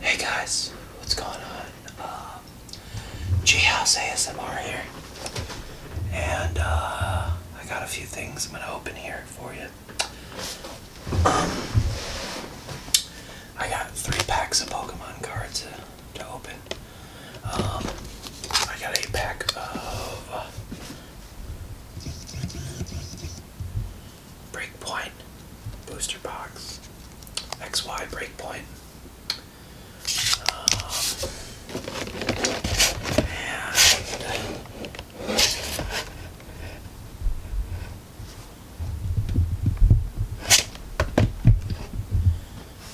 Hey guys, what's going on? Uh, G House ASMR here, and uh, I got a few things I'm gonna open here for you. Um, I got three packs of Pokemon cards uh, to open. Um, I got a pack of uh, Breakpoint booster box, XY Breakpoint, um,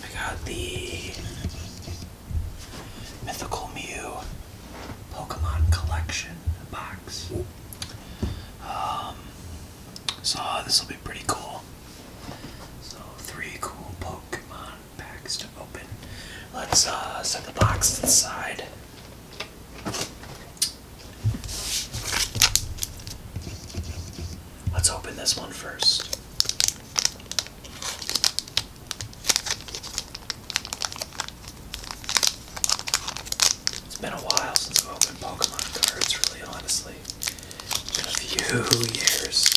I got the Mythical Mew Pokemon Collection box. Um, so this will be pretty cool. So three cool Pokemon packs to open. Let's uh, set the box to the side. Let's open this one first. It's been a while since I've opened Pokemon cards, really honestly. It's been a few years.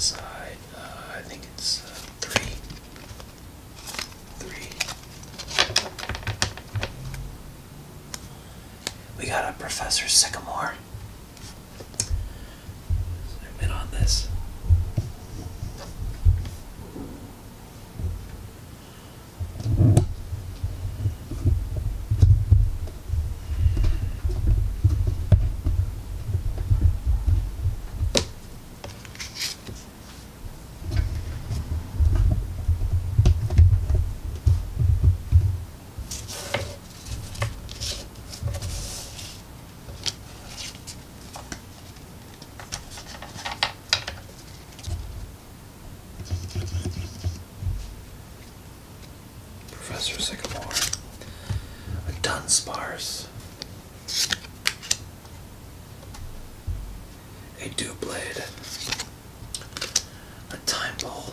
Side, uh, I think it's uh, three, three. We got a Professor Sycamore. Zoom in on this. Professor Sycamore. a dunspars, A dew blade a time ball,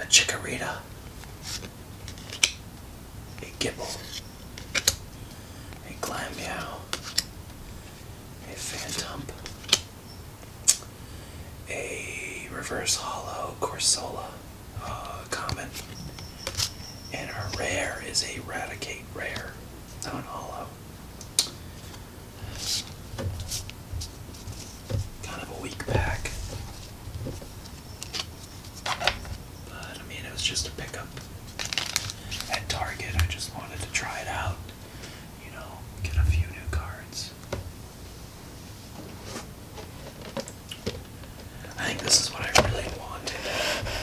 a chikorita, a gibble, a glammeow, a phantump, a reverse hollow corsola uh, common, and our rare is a radicate rare, not hollow. Kind of a weak pack. But I mean, it was just a pickup at Target. I just wanted to try it out, you know, get a few new cards. I think this is what I really wanted.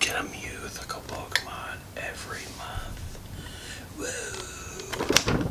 Get a mythical Pokemon every month. Woo!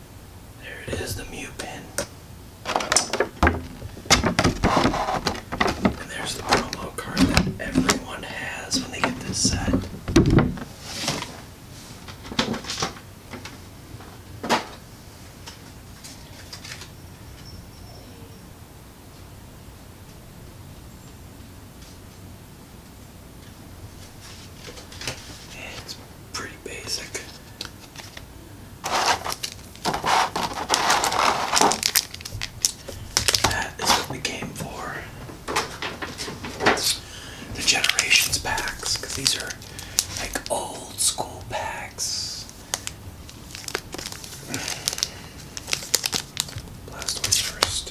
There it is, the mute pin. And there's the promo card that everyone has when they get this set. it's pretty basic. That is what we came for. The Generations packs, because these are like old school packs. Blastoise first.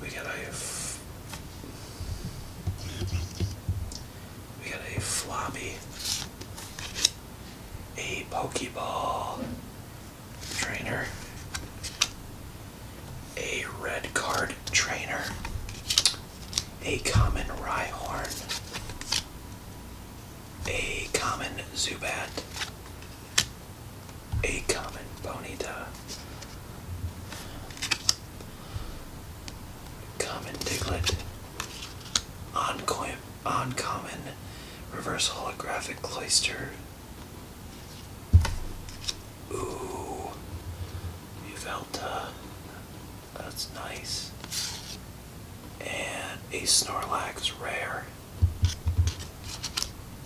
we got a we got a floppy, a pokeball trainer, a red card trainer, a common Rhyhorn, a common Zubat, a common ponyta, common Diglett, uncommon reverse holographic cloister. Ooh, Muvelta, uh, that's nice. And a Snorlax rare.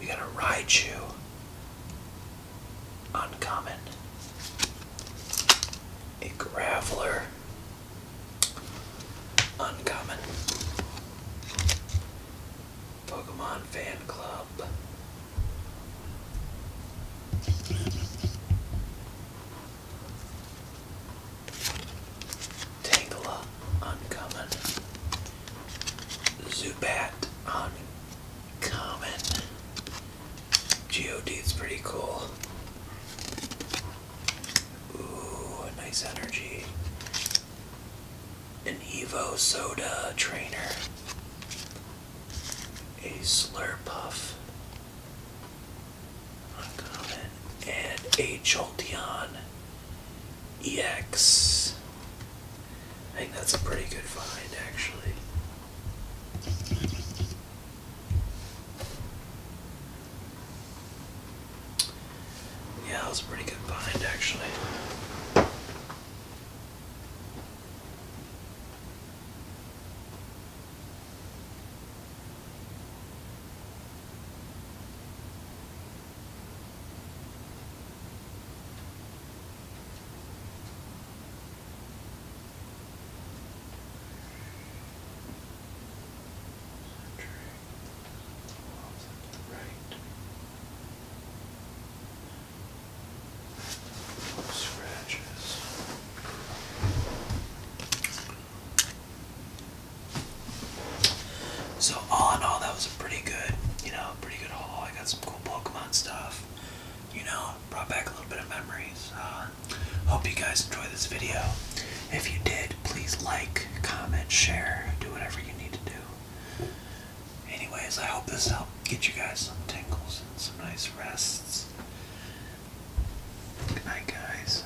We got a Raichu. Uncommon. A Graveler. Uncommon. Pokemon Fan Club. Tangela, uncommon. Zubat on Common. God Geodude's pretty cool. Ooh, nice energy. An Evo Soda trainer. A Slurpuff. Uncommon. And a Joltion. EX. I think that's a pretty good find, actually. Yeah, that was a pretty good find, actually. Scratches. So all in all, that was a pretty good, you know, pretty good haul. I got some cool Pokemon stuff. You know, brought back a little bit of memories. Uh, hope you guys enjoyed this video. If you did, please like, comment, share, do whatever you need to do. Anyways, I hope this helped get you guys some tingles and some nice rests. Good night, guys.